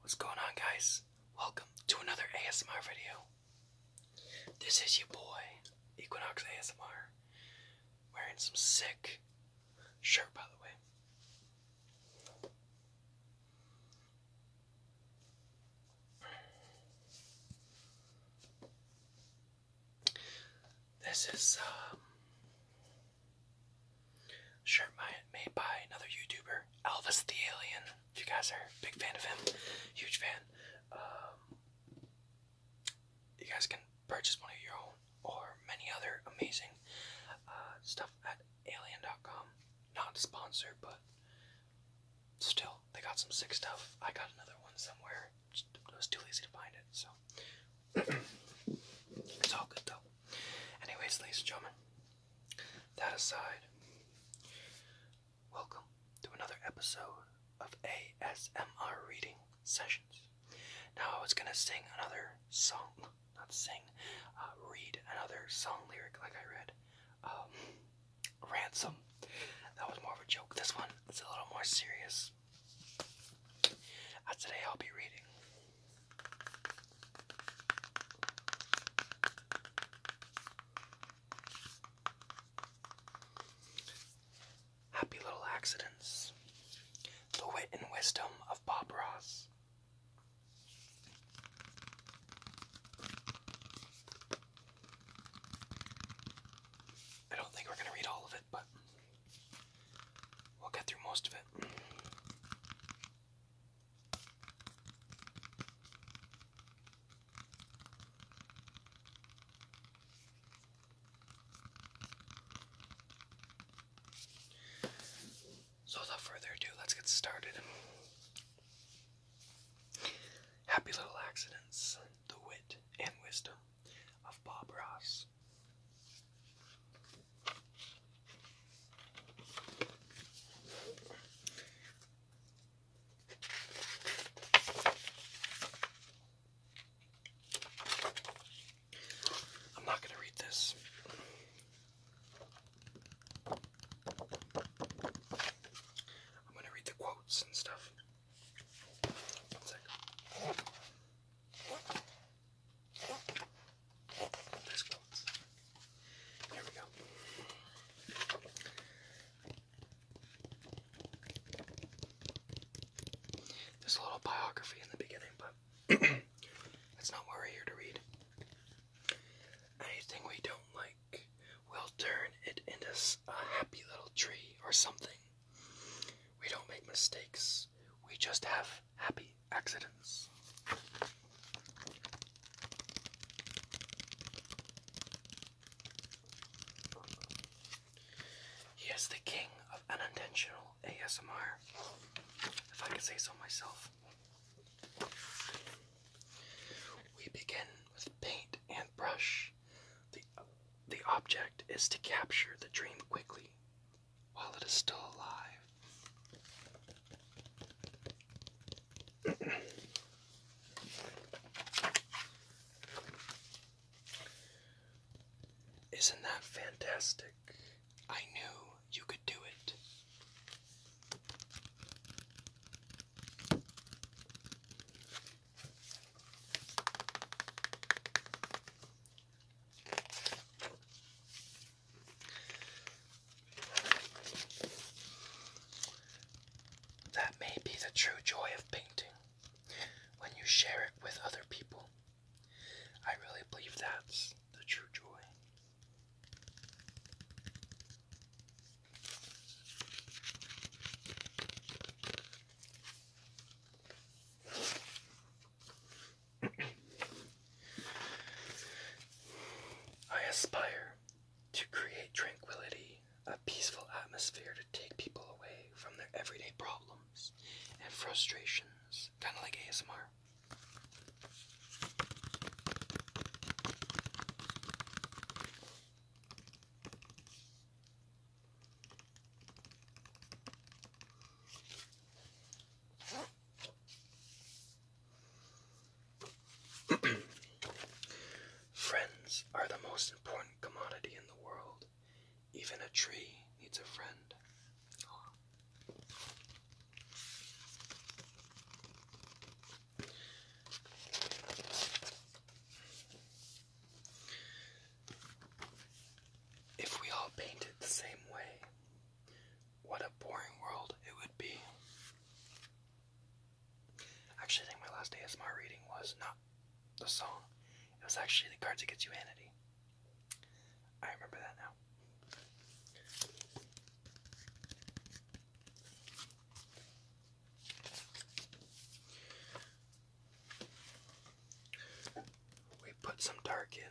What's going on, guys? Welcome to another ASMR video. This is your boy, Equinox ASMR, wearing some sick shirt, by the way. This is um, Shirt made by another YouTuber, Elvis the Alien. If you guys are a big fan of him, huge fan. Um, you guys can purchase one of your own or many other amazing uh, stuff at alien.com. Not sponsored, but still, they got some sick stuff. I got another one somewhere. Just, I was too lazy to find it, so. it's all good though. Anyways, ladies and gentlemen, that aside, welcome to another episode of ASMR reading sessions. Now I was gonna sing another song, not sing, uh, read another song lyric like I read, um, ransom. That was more of a joke. This one is a little more serious. Uh, today I'll be reading Happy Little Accidents. The Wit and Wisdom of Bob Ross. I don't think we're going to read all of it, but we'll get through most of it. So, without further ado, let's get started. Happy Little Accidents The Wit and Wisdom of Bob Ross. I'm not going to read this. I'm going to read the quotes and stuff. There's a little biography in the beginning, but that's not what we're here to read. Anything we don't like, we'll turn it into a happy little tree or something. We don't make mistakes, we just have happy accidents. He is the king of unintentional ASMR, if I can say so myself. We begin with paint and brush. The, the object is to capture the dream quickly while it is still alive. Isn't that fantastic? I knew you could do it. That may be the true joy of painting when you share it with other people. I really believe that's the true joy. I aspire to create tranquility, a peaceful atmosphere to take people away from their everyday problems and frustrations, kind of like ASMR. Friends are the most important commodity in the world. Even a tree needs a friend. If we all painted the same way, what a boring world it would be. Actually, I think my last ASMR reading was not the song, it was actually the Cards Against Humanity. I remember that now. We put some dark in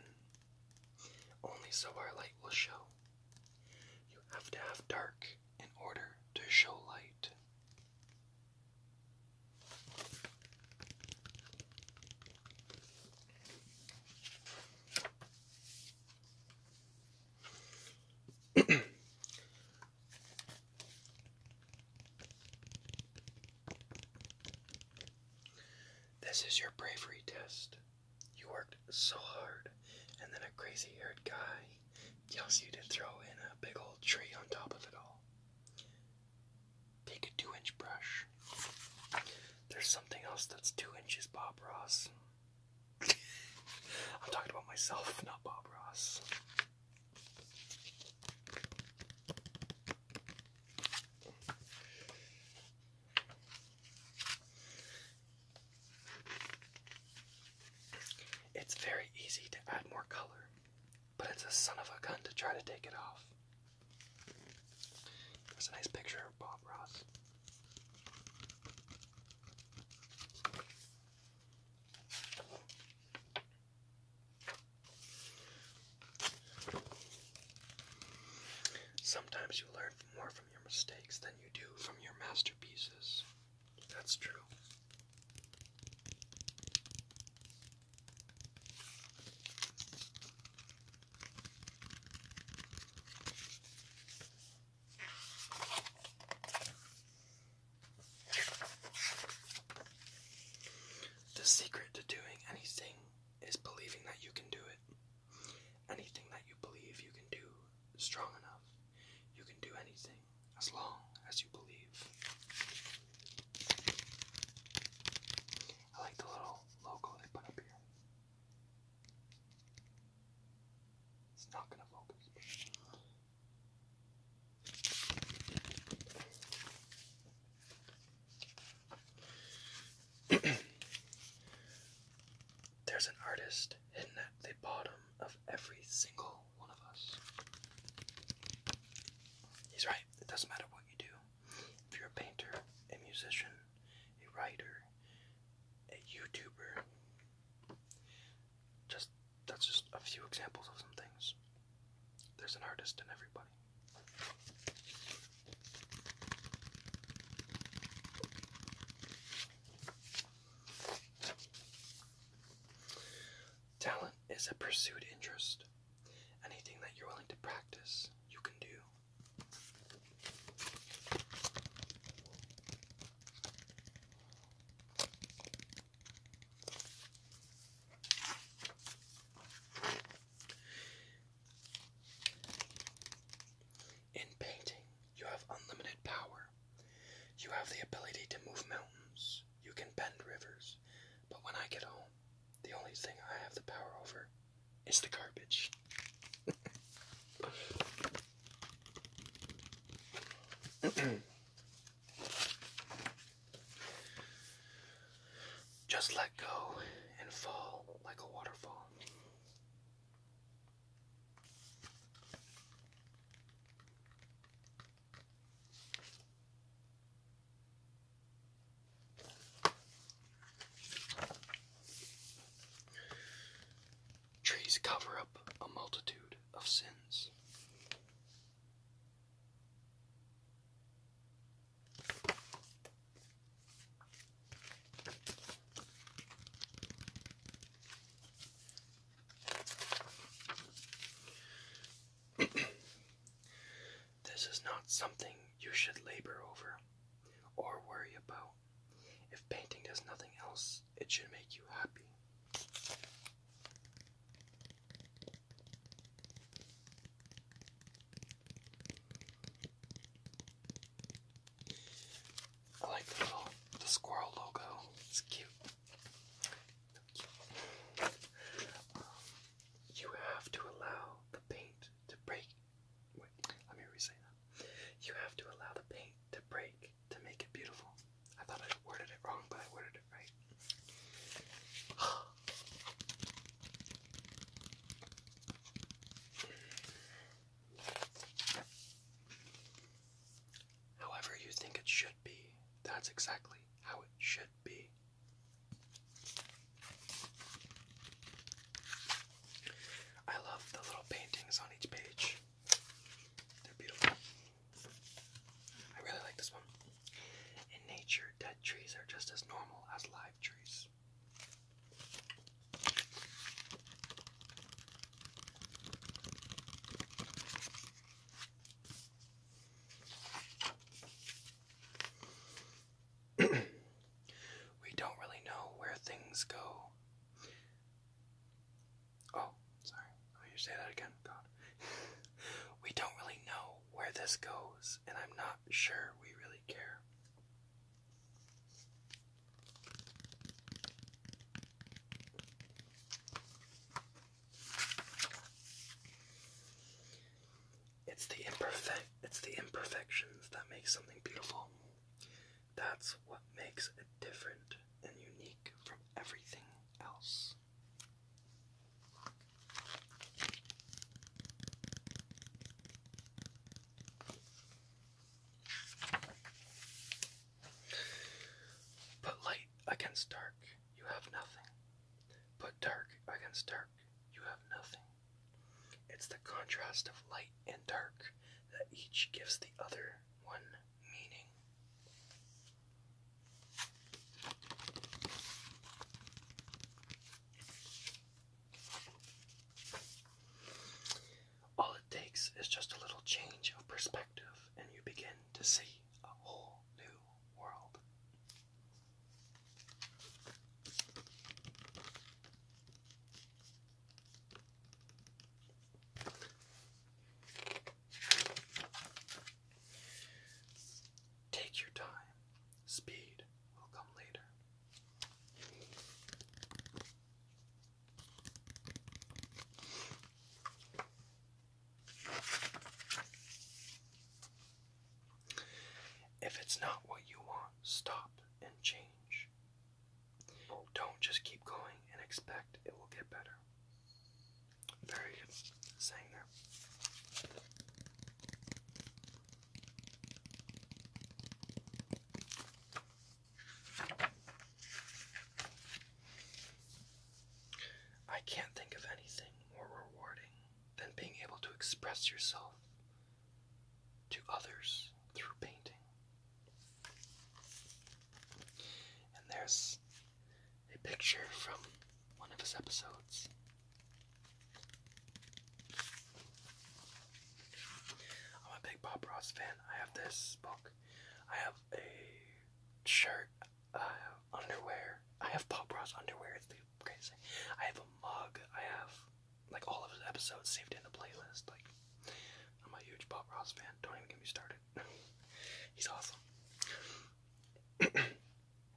only so our light will show. You have to have dark in order to show light. this is your bravery test. You worked so hard, and then a crazy haired guy tells you to throw in a big old tree on top of it all. Take a two inch brush. There's something else that's two inches, Bob Ross. I'm talking about myself, not Bob Ross. It's very easy to add more color, but it's a son of a gun to try to take it off. There's a nice picture of Bob Ross. Sometimes you learn more from your mistakes than you do from your masterpieces. That's true. The secret to doing anything is believing that you can do it. Anything that you believe you can do strong enough, you can do anything as long as you believe. I like the little logo they put up here. It's not going to focus. There's an artist hidden at the bottom of every single one of us. He's right, it doesn't matter what you do. If you're a painter, a musician, a writer, a YouTuber, just that's just a few examples of some things. There's an artist in everybody. Talent is a pursued interest. Anything that you're willing to practice, you can do. In painting, you have unlimited power. You have the ability to move mountains. You can bend rivers. But when I get home, the only thing I have the power over is the garbage. Just let go and fall like a waterfall. Trees cover up a multitude of sins this is not something you should labor over or worry about. If painting does nothing else, it should make you happy. I like the little the squirrel logo. It's cute. you have to allow the paint to break. Wait, let me re that. You have to allow the paint to break to make it beautiful. I thought I worded it wrong, but I worded it right. However, you think it should be, that's exactly how it should be. I love the little paintings on each page, they're beautiful. I really like this one. In nature, dead trees are just as normal as live trees. we don't really know where things go. Oh, sorry. Let say that again. God. we don't really know where this goes, and I'm not sure we really care. It's the imperfect it's the imperfections that make something beautiful. That's what makes it different and unique from everything else. Put light against dark, you have nothing. But dark against dark, you have nothing. It's the contrast of light and dark that each gives the other one meaning. All it takes is just a little change of perspective, and you begin to see a whole new world. Take your time. Speed will come later. If it's not what you want, stop and change. Don't just keep going and expect it will get better. Very good saying there. I can't think of anything more rewarding than being able to express yourself to others through painting. And there's a picture from one of his episodes. I'm a big Bob Ross fan. I have this book. I have a shirt, uh, underwear. I have Pop Ross underwear. It's crazy. I have a mug. I have like all of his episodes saved in the playlist. Like I'm a huge Bob Ross fan. Don't even get me started. He's awesome.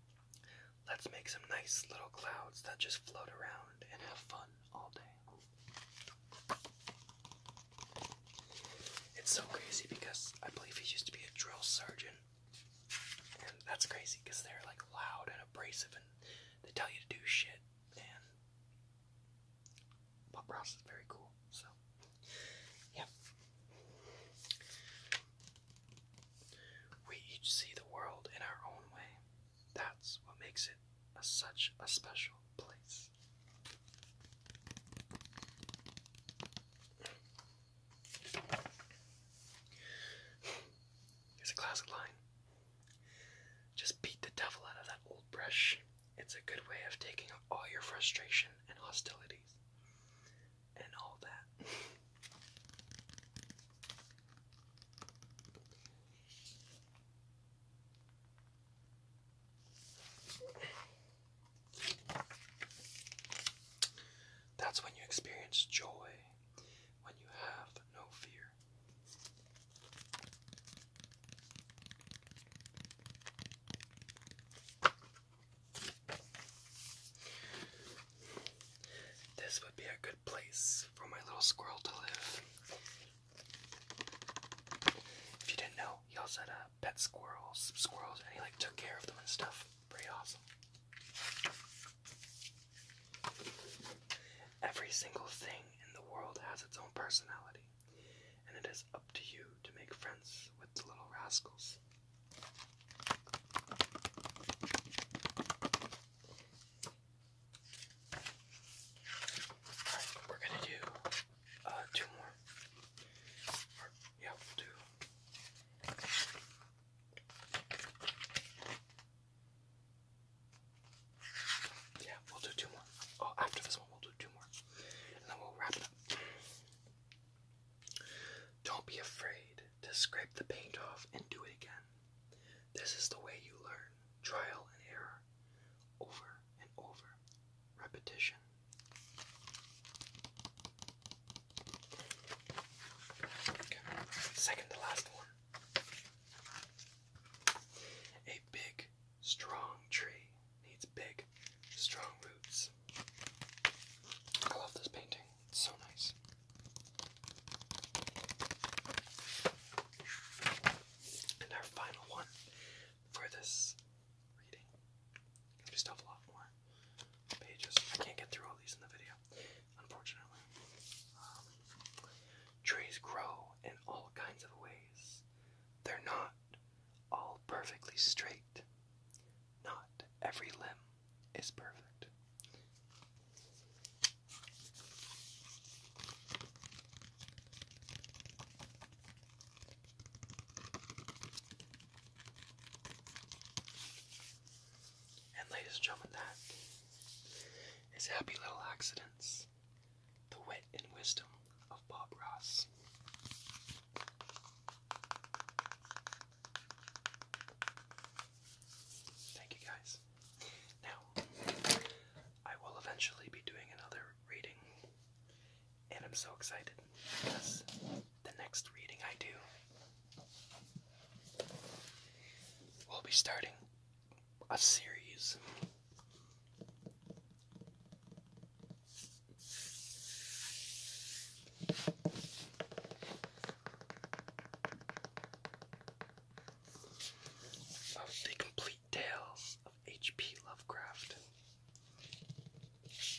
Let's make some nice little clouds that just float around and have fun all day. It's so crazy because I believe he used to be a drill sergeant. And that's crazy because they're like loud and abrasive and they tell you to do shit. And Pop Ross is very cool. So, yeah. We each see the world in our own way. That's what makes it such a special place. It's a classic line. Just beat the devil out of that old brush. It's a good way of taking all your frustration and hostilities and all that. That's when you experience joy, when you have no fear. This would be a good place for my little squirrel to live. If you didn't know, he also had pet squirrels, squirrels, and he like took care of them and stuff. Pretty awesome. Every single thing in the world has its own personality, and it is up to you to make friends with the little rascals. All right, we're gonna do uh, two more. yeah, we'll do. Yeah, we'll do two more. Oh, after this one, we'll do two more. And then we'll wrap it up. Don't be afraid to scrape the paint off and do it again. This is the way you learn trial and error over and over. Repetition. Second to last one. A big, strong tree needs big, strong roots. I love this painting, it's so nice. And our final one for this reading. Because we still have a lot more pages. I can't get through all these in the video, unfortunately. Um, trees grow in all kinds of ways. They're not all perfectly straight. Not every limb is perfect. And, ladies and gentlemen, that is Happy Little Accidents, the wit and wisdom of Bob Ross. Thank you guys. Now, I will eventually be doing another reading and I'm so excited because the next reading I do will be starting a series. Of the complete tales H.P. Lovecraft.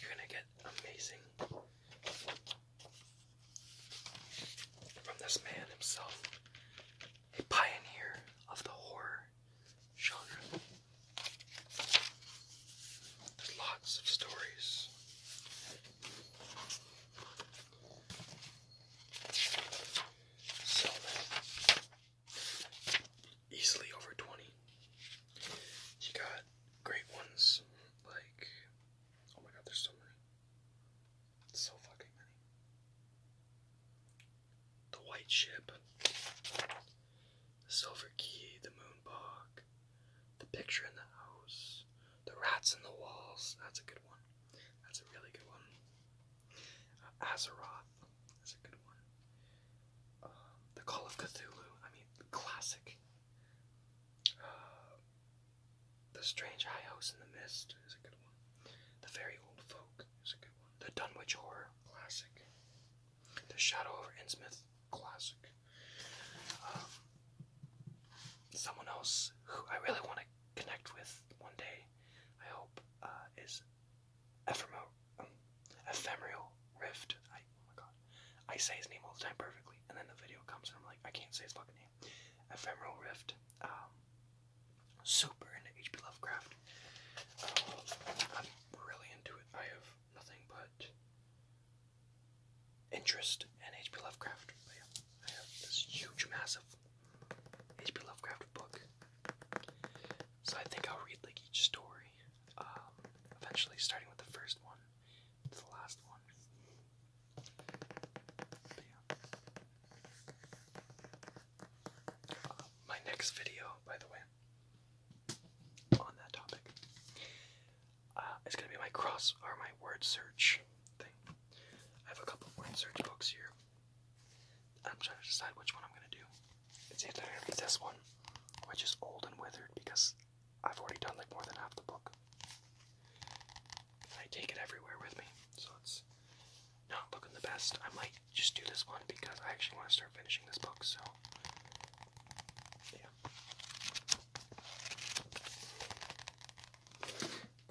You're gonna get amazing from this man himself, a pioneer of the horror genre. There's lots of stories easily over 20. You got great ones, like, oh my god, there's so many. So fucking many. The White Ship, the Silver Key, the Moonbog, the Picture in the House, the Rats in the Walls, that's a good one. That's a really good one. Uh, Azeroth, that's a good one. Um, the Call of Cthulhu. I mean, classic. Uh, the Strange High House in the Mist is a good one. The Very Old Folk is a good one. The Dunwich Horror, classic. The Shadow over Innsmouth, classic. Um, someone else who I really want to connect with one day, I hope, uh, is Ephremo Ephemeral Rift. I, oh my god. I say his name all the time perfectly, and then the video comes and I'm like, I can't say his fucking name. Ephemeral Rift. Um, super into H.P. Lovecraft. Um, I'm really into it. I have nothing but interest in H.P. Lovecraft. I have this huge, massive H.P. Lovecraft book. So I think I'll read like each story story, um, eventually starting with the first one to the last one. Uh, my next video, by the way, on that topic, uh, gonna be my cross or my word search thing. I have a couple word search books here. I'm trying to decide which one I'm gonna do. It's literally this one, which is old and withered because I've already done like more than half the book. And I take it everywhere with me, so it's not looking the best. I might just do this one because I actually want to start finishing this book, so yeah.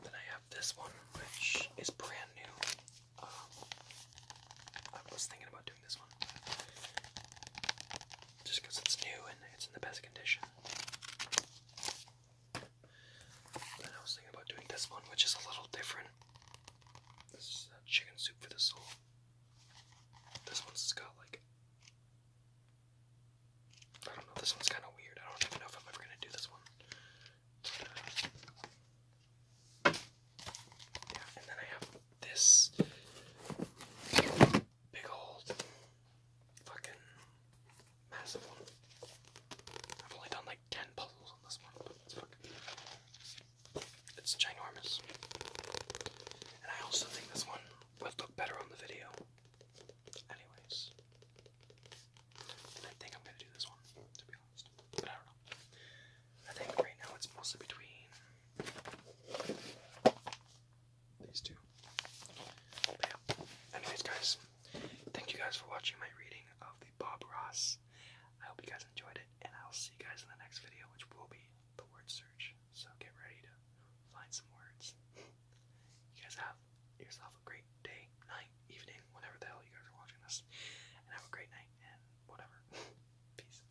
Then I have this one, which is brand new. Um, I was thinking about this one. Just it's new and it's in the best condition. I was thinking about doing this one, which is a little different. This is chicken soup for the soul. This one's got like. I don't know, this one's kind of weird. I don't even know if I'm ever gonna do this one. Uh, yeah, and then I have this big old fucking massive one. I've only done like 10 puzzles on this one, it's ginormous. And I also think this one would look better on the video. Anyways. I think I'm gonna do this one, to be honest. But I don't know. I think right now it's mostly between these two. Anyways, guys, thank you guys for watching my reading of the Bob Ross. I hope you guys enjoyed it, and I'll see you guys in the next video, which will be the word search. So get ready to find some words. you guys have yourself a great day, night, evening, whenever the hell you guys are watching this, and have a great night and whatever. Peace.